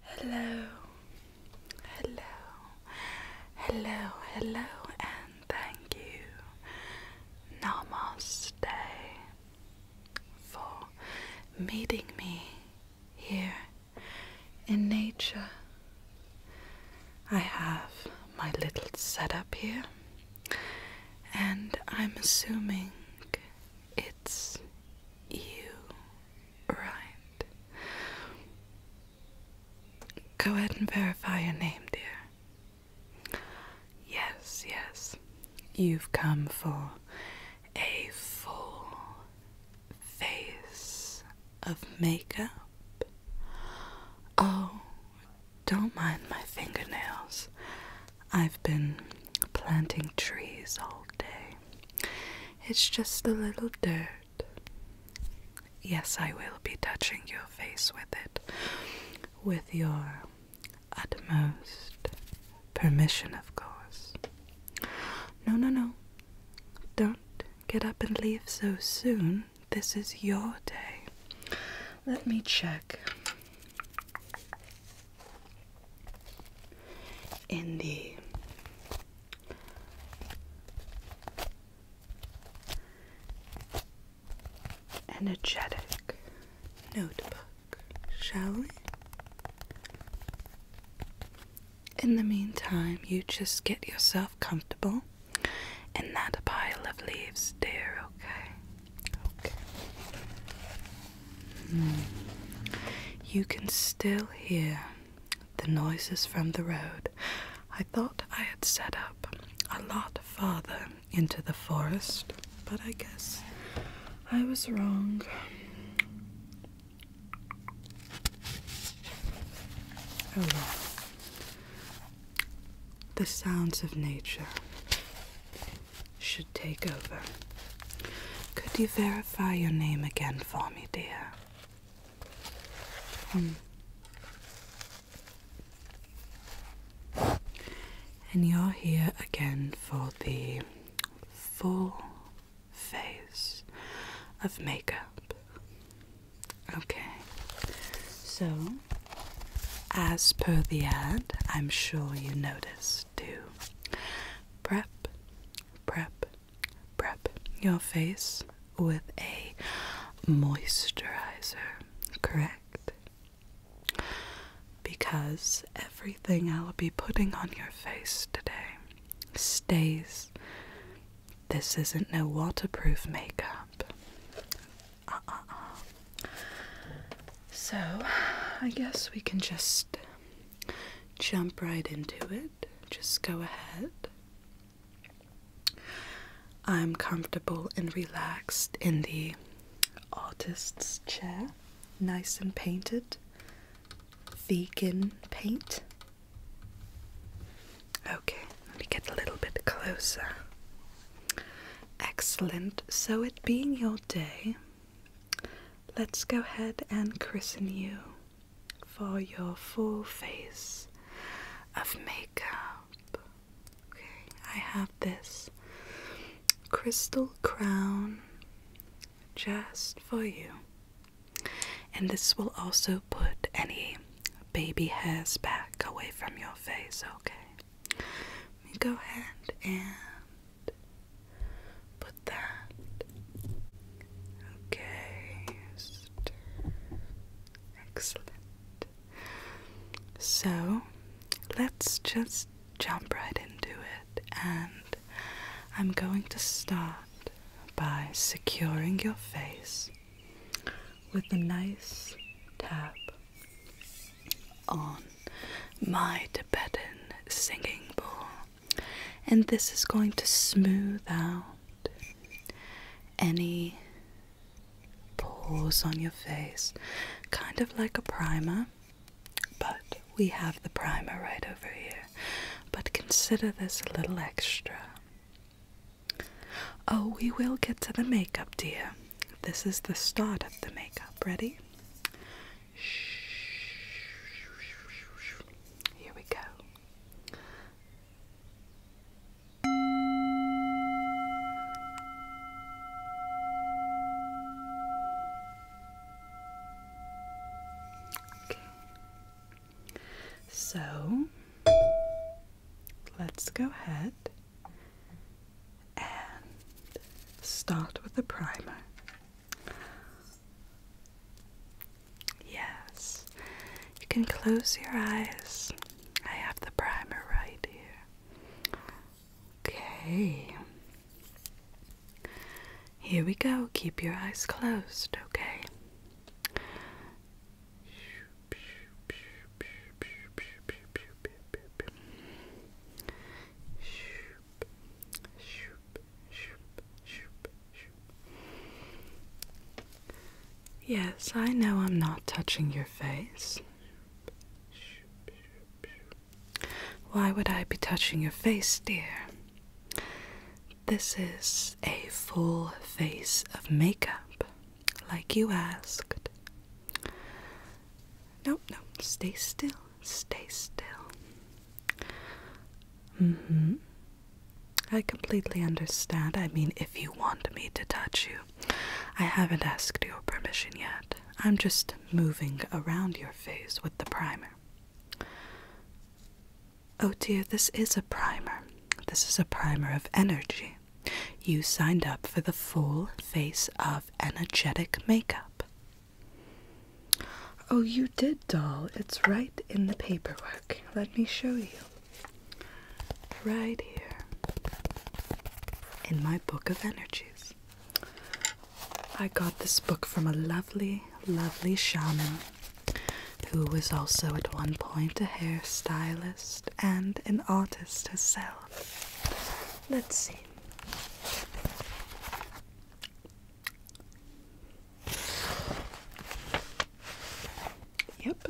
Hello, hello, hello, hello, and thank you, Namaste, for meeting me here in nature. I have my little setup here, and I'm assuming it's you Right. Go ahead and verify your name, dear. Yes, yes. You've come for a full face of makeup. Oh, don't mind my fingernails. I've been planting trees all day. It's just a little dirt. Yes, I will be touching your face with it with your utmost permission, of course. No, no, no. Don't get up and leave so soon. This is your day. Let me check in the energetic notebook, shall we? In the meantime, you just get yourself comfortable in that pile of leaves, dear, okay? Okay. Mm. You can still hear the noises from the road. I thought I had set up a lot farther into the forest, but I guess I was wrong. Oh The sounds of nature should take over. Could you verify your name again for warm hmm. idé. And you're here again for the full phase of makeup. Okay, so as per the ad, I'm sure you noticed too. Prep, prep, Prep your face with a moisturizer, correct? Because everything I'll be putting on your face today stays. This isn't no waterproof makeup. Uh uh uh. So, I guess we can just jump right into it just go ahead. I'm comfortable and relaxed in the artist's chair, nice and painted, vegan paint. Okay, let me get a little bit closer. Excellent. So, it being your day, let's go ahead and christen you for your full face of makeup. Okay, I have this crystal crown just for you. And this will also put any baby hairs back away from your face, okay? Let me go ahead and Put that. Okay. Excellent. So let's just jump right into it, and I'm going to start by securing your face with a nice tap on my Tibetan singing bowl. And this is going to smooth out any pores on your face, kind of like a primer. But we have the primer right over here. But consider this a little extra. Oh, we will get to the makeup, dear. This is the start of the makeup. Ready? Here we go. Okay. So let's go ahead and start with the primer. Yes, you can close your eyes. I have the primer right here. Okay. Here we go. Keep your eyes closed, okay? Yes, I know I'm not touching your face. Why would I be touching your face, dear? This is a full face of makeup, like you asked. No, no, stay still, stay still. Mm hmm. I completely understand. I mean, if you want me to touch you, I haven't asked your permission yet. I'm just moving around your face with the primer. Oh dear, this is a primer. This is a primer of energy. You signed up for the full face of energetic makeup. Oh, you did, doll. It's right in the paperwork. Let me show you. Right here in my book of energies. I got this book from a lovely, lovely shaman who was also at one point a hairstylist and an artist herself. Let's see. Yep,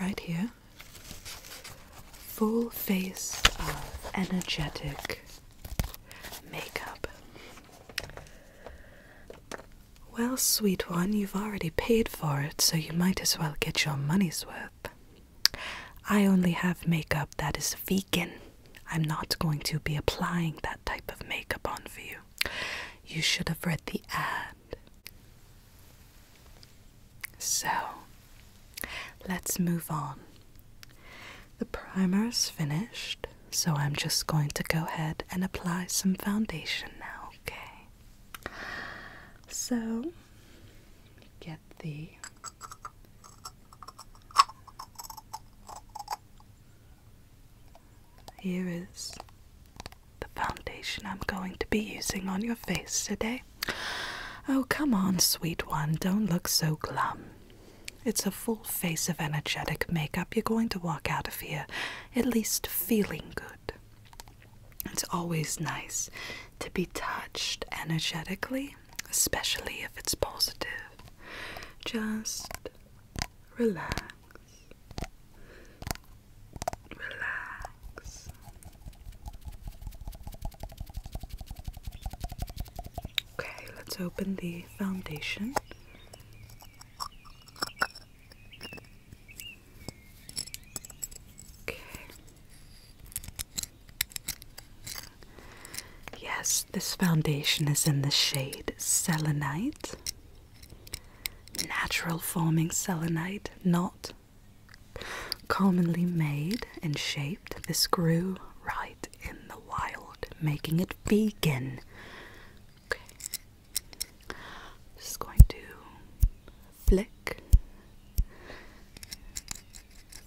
right here. Full face of energetic makeup. Well, sweet one, you've already paid for it, so you might as well get your money's worth. I only have makeup that is vegan. I'm not going to be applying that type of makeup on for you. You should have read the ad. So, let's move on. The primer is finished, so I'm just going to go ahead and apply some foundation now, okay? So, get the here is the foundation I'm going to be using on your face today. Oh, come on, sweet one, don't look so glum. It's a full face of energetic makeup. You're going to walk out of here at least feeling good. It's always nice to be touched energetically, especially if it's positive. Just relax relax. Okay, let's open the foundation. Okay. Yes, this foundation is in the shade Selenite. Natural forming selenite not commonly made and shaped. This grew right in the wild, making it vegan. Just going to flick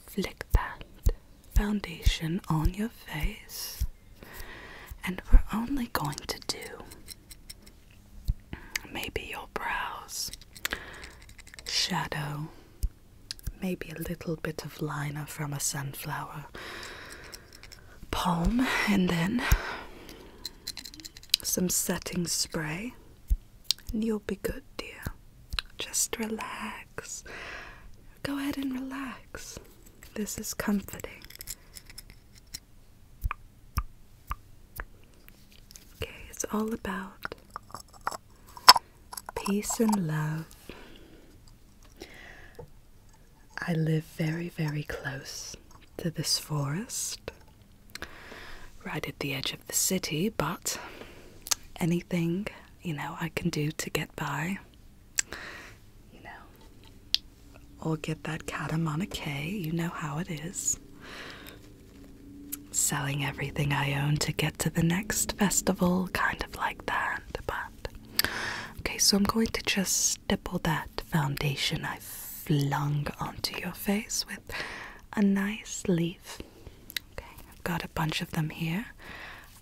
flick that foundation on your face. And we're only going to do maybe your brows, shadow, maybe a little bit of liner from a sunflower palm, and then some setting spray, and you'll be good, dear. Just relax. Go ahead and relax. This is comforting. Okay, it's all about peace and love. I live very, very close to this forest, right at the edge of the city, but anything you know I can do to get by, you know, or get that Katamana you know how it is. Selling everything I own to get to the next festival, kind of like that, but. Okay, so I'm going to just stipple that foundation I flung onto your face with a nice leaf. Okay, I've got a bunch of them here.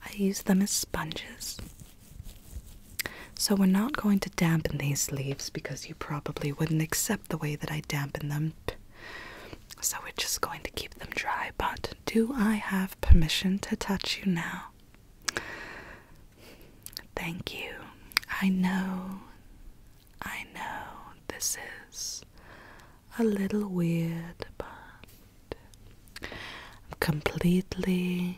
I use them as sponges. So we're not going to dampen these leaves because you probably wouldn't accept the way that I dampen them. So we're just going to keep them dry. But do I have permission to touch you now? Thank you. I know, I know this is a little weird, but I'm completely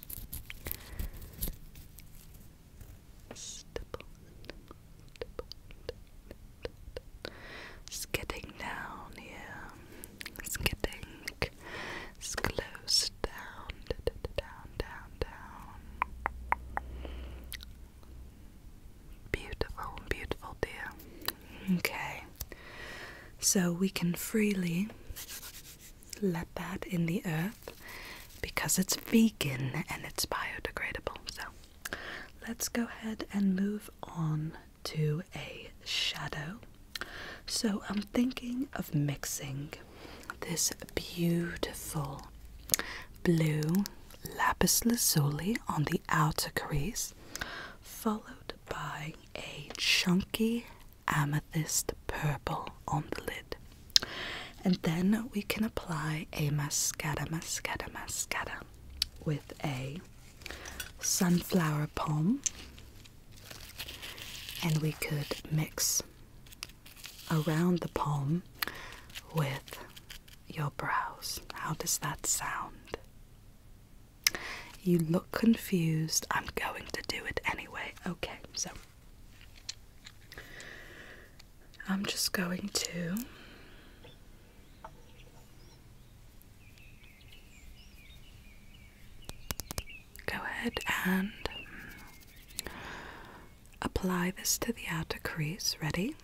Stipple, stipple, stipple. Skidding down, yeah. It's close down, down, down, down. Beautiful, beautiful, dear. Okay. So we can freely let that in the earth because it's vegan and it's biodegradable. So let's go ahead and move on to a shadow. So I'm thinking of mixing this beautiful blue lapis lazuli on the outer crease, followed by a chunky amethyst purple on the lid. And then we can apply a mascara, mascara, mascara with a sunflower palm. And we could mix around the palm with your brows. How does that sound? You look confused. I'm going to do it anyway. Okay, so I'm just going to go ahead and apply this to the outer crease. Ready?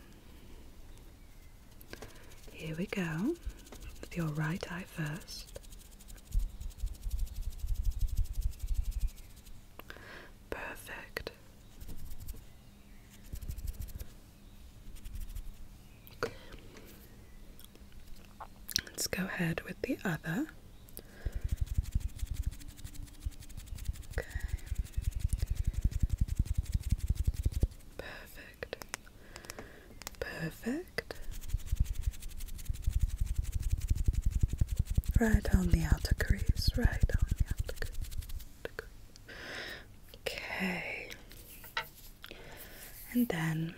Here we go. With your right eye first. Perfect. Let's go ahead with the other. Okay. Perfect. Perfect. Right on the outer crease, right on the outer crease. Okay. And then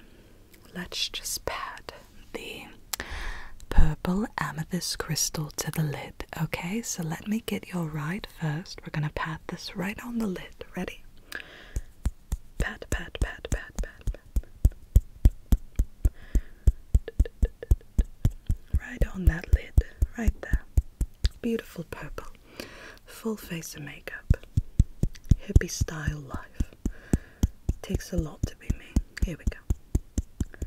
let's just pad the purple amethyst crystal to the lid. Okay, so let me get your right first. We're gonna pat this right on the lid. Ready? Pat, pat, pat, pat, pat, pat, Right on that lid, right there. Beautiful purple. Full face of makeup. Hippie style life. Takes a lot to be me. Here we go.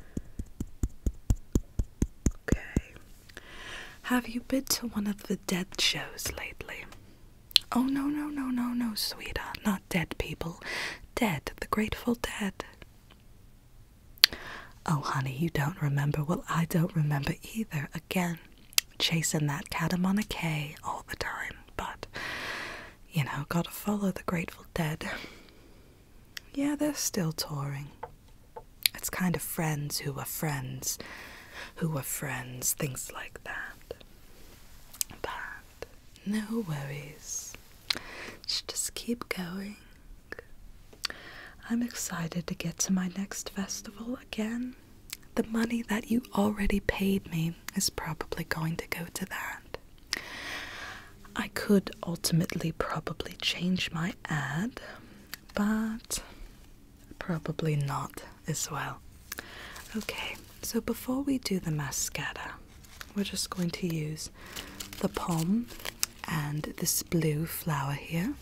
Okay. Have you been to one of the dead shows lately? Oh, no, no, no, no, no, sweetheart. Not dead people. Dead. The Grateful Dead. Oh, honey, you don't remember. Well, I don't remember either. Again, chasing that catamon all the time, but you know, gotta follow the Grateful Dead. Yeah, they're still touring. It's kind of friends who were friends, who were friends, things like that. But no worries. Just keep going. I'm excited to get to my next festival again. The money that you already paid me is probably going to go to that. I could ultimately probably change my ad, but probably not as well. Okay, so before we do the mascara, we're just going to use the palm and this blue flower here,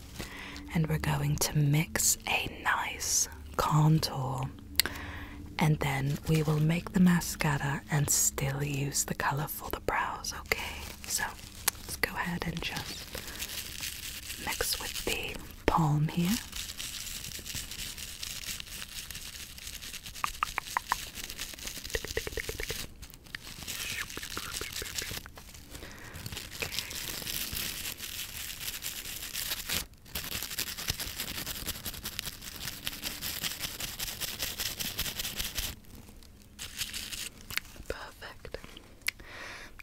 and we're going to mix a nice contour. And then we will make the mascara and still use the color for the brows, okay? So let's go ahead and just mix with the palm here. Perfect. I'm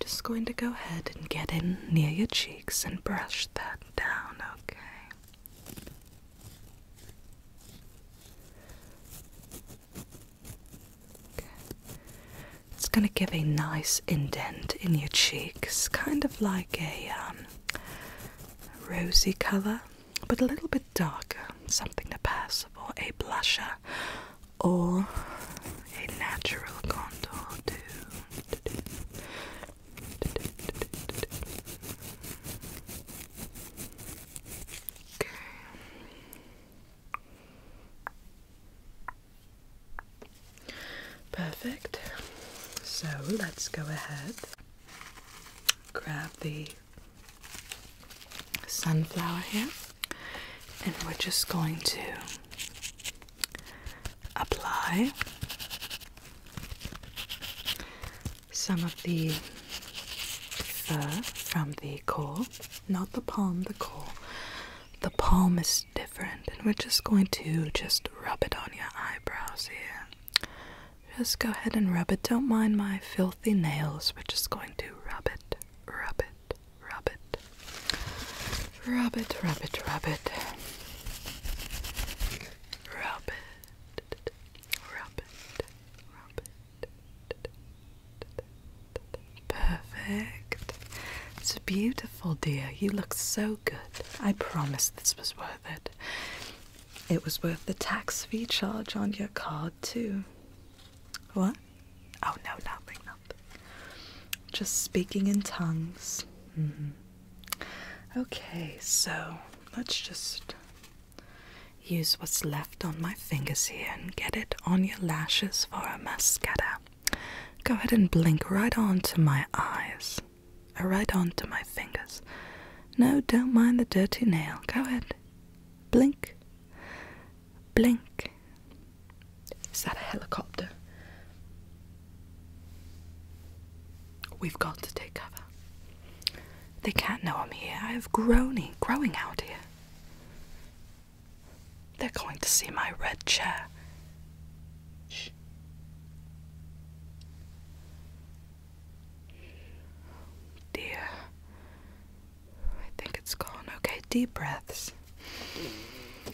just going to go ahead and get in near your cheeks and brush that down, okay? It's going to give a nice indent in your cheeks, kind of like a um, rosy colour, but a little bit darker, something to pass for a blusher or a natural contour too. Perfect. So let's go ahead, grab the sunflower here, and we're just going to apply some of the fur from the coal. Not the palm, the coal. The palm is different, and we're just going to just rub it on your eyebrows here. Just go ahead and rub it. Don't mind my filthy nails. We're just going to rub it, rub it, rub it, rub it, rub it, rub it, rub it, rub it, Perfect. It's beautiful, dear. You look so good. I promise this was worth it. It was worth the tax fee charge on your card, too. What? Oh, no, nothing, nothing. Just speaking in tongues. Mm-hmm. Okay, so let's just Use what's left on my fingers here and get it on your lashes for a mascara. Go ahead and blink right onto my eyes, or uh, right onto my fingers. No, don't mind the dirty nail. Go ahead. Blink. Blink. Is that a helicopter? We've got to take cover. They can't know I'm here. I have groaning, growing out here. They're going to see my red chair. Shh. Dear, I think it's gone. Okay, deep breaths.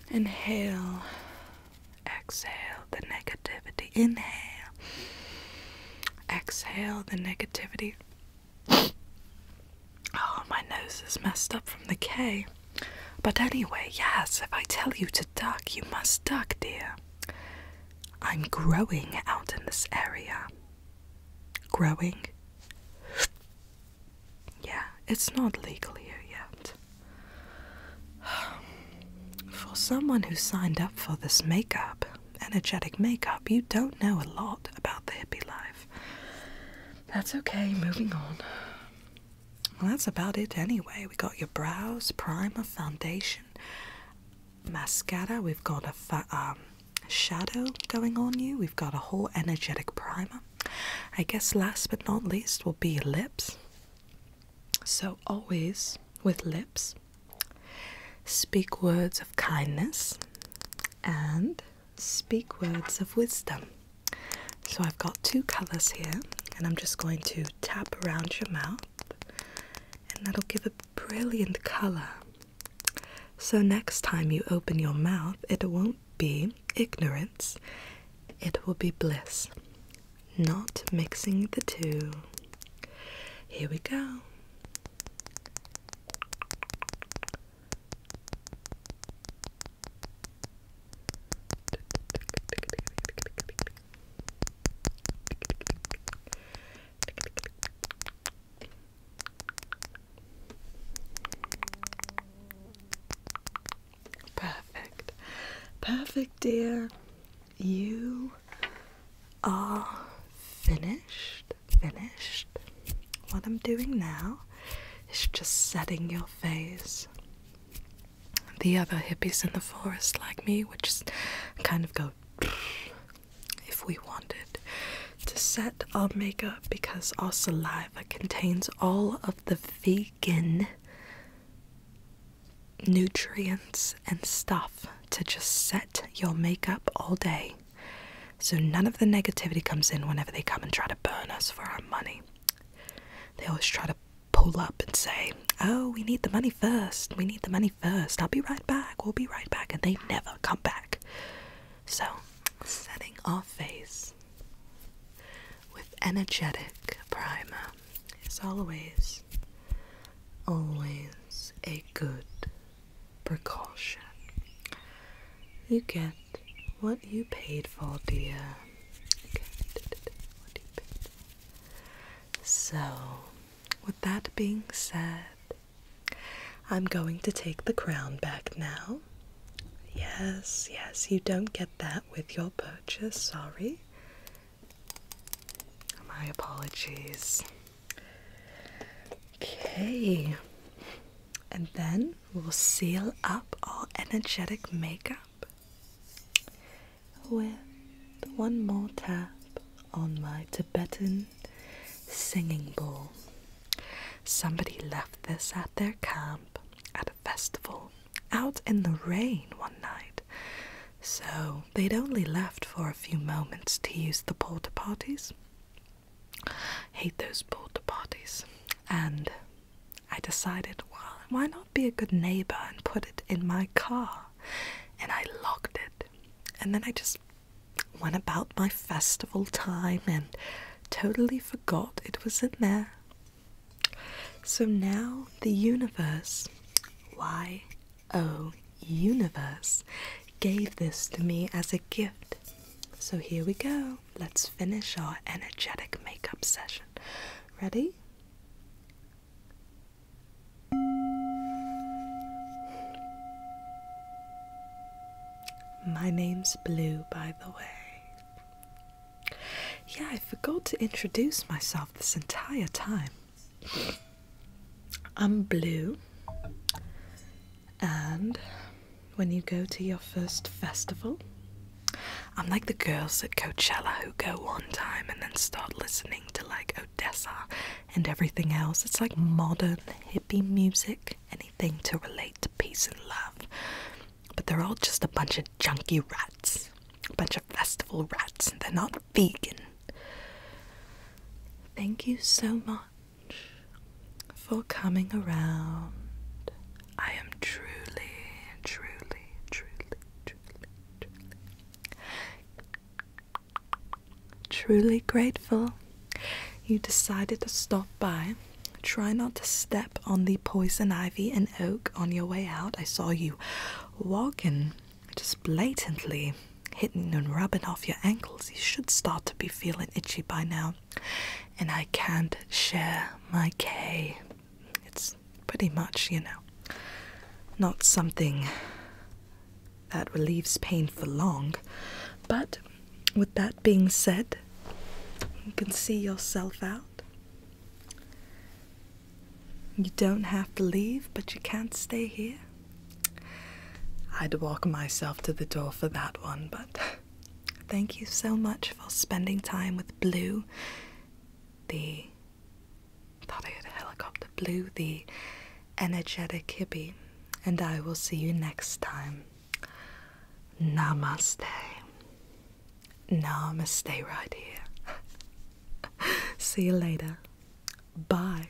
Inhale, exhale the negativity. Inhale, exhale the negativity. Oh, my nose is messed up from the K. But anyway, yes, if I tell you to duck, you must duck, dear. I'm growing out in this area. Growing? Yeah, it's not legal here yet. For someone who signed up for this makeup, energetic makeup, you don't know a lot about the hippie life. That's okay, moving on. Well, that's about it anyway. We got your brows, primer, foundation, mascara. We've got a um, shadow going on you. We've got a whole energetic primer. I guess last but not least will be lips. So, always with lips, Speak words of kindness and speak words of wisdom. So I've got two colors here, and I'm just going to tap around your mouth, and that'll give a brilliant color. So next time you open your mouth, it won't be ignorance, it will be bliss. Not mixing the two. Here we go. Perfect. Perfect, dear. You are finished finished, what I'm doing now is just setting your face. The other hippies in the forest, like me, would just kind of go if we wanted to set our makeup because our saliva contains all of the vegan nutrients and stuff to just set your makeup all day. So none of the negativity comes in whenever they come and try to burn us for our money. They always try to pull up and say, Oh, we need the money first. We need the money first. I'll be right back. We'll be right back. And they never come back. So, setting our face with energetic primer is always, always a good precaution. You get what you paid for, dear. So, with that being said, I'm going to take the crown back now. Yes, yes, you don't get that with your purchase, sorry. My apologies. Okay, and then we'll seal up all energetic makeup with one more tap on my Tibetan singing bowl. Somebody left this at their camp at a festival out in the rain one night, so they'd only left for a few moments to use the porta potties hate those porta parties. And I decided, well, why not be a good neighbor and put it in my car? And I locked it. And then I just went about my festival time and totally forgot it was in there. So now the universe, why Oh, universe gave this to me as a gift. So here we go. Let's finish our energetic makeup session. Ready? My name's Blue, by the way. Yeah, I forgot to introduce myself this entire time. I'm Blue, and when you go to your first festival, I'm like the girls at Coachella who go one time and then start listening to like Odessa and everything else. It's like modern hippie music, anything to relate to peace and love. But they're all just a bunch of junky rats, a bunch of festival rats, and they're not vegan. Thank you so much for coming around. I am truly, truly, truly, truly, truly grateful you decided to stop by. Try not to step on the poison ivy and oak on your way out. I saw you walking just blatantly hitting and rubbing off your ankles. You should start to be feeling itchy by now. And I can't share my K. It's pretty much, you know, not something that relieves pain for long. But with that being said, you can see yourself out. You don't have to leave, but you can't stay here. I'd walk myself to the door for that one, but thank you so much for spending time with Blue, the thought I heard helicopter Blue, the energetic hippie, and I will see you next time. Namaste. Namaste right here. see you later. Bye.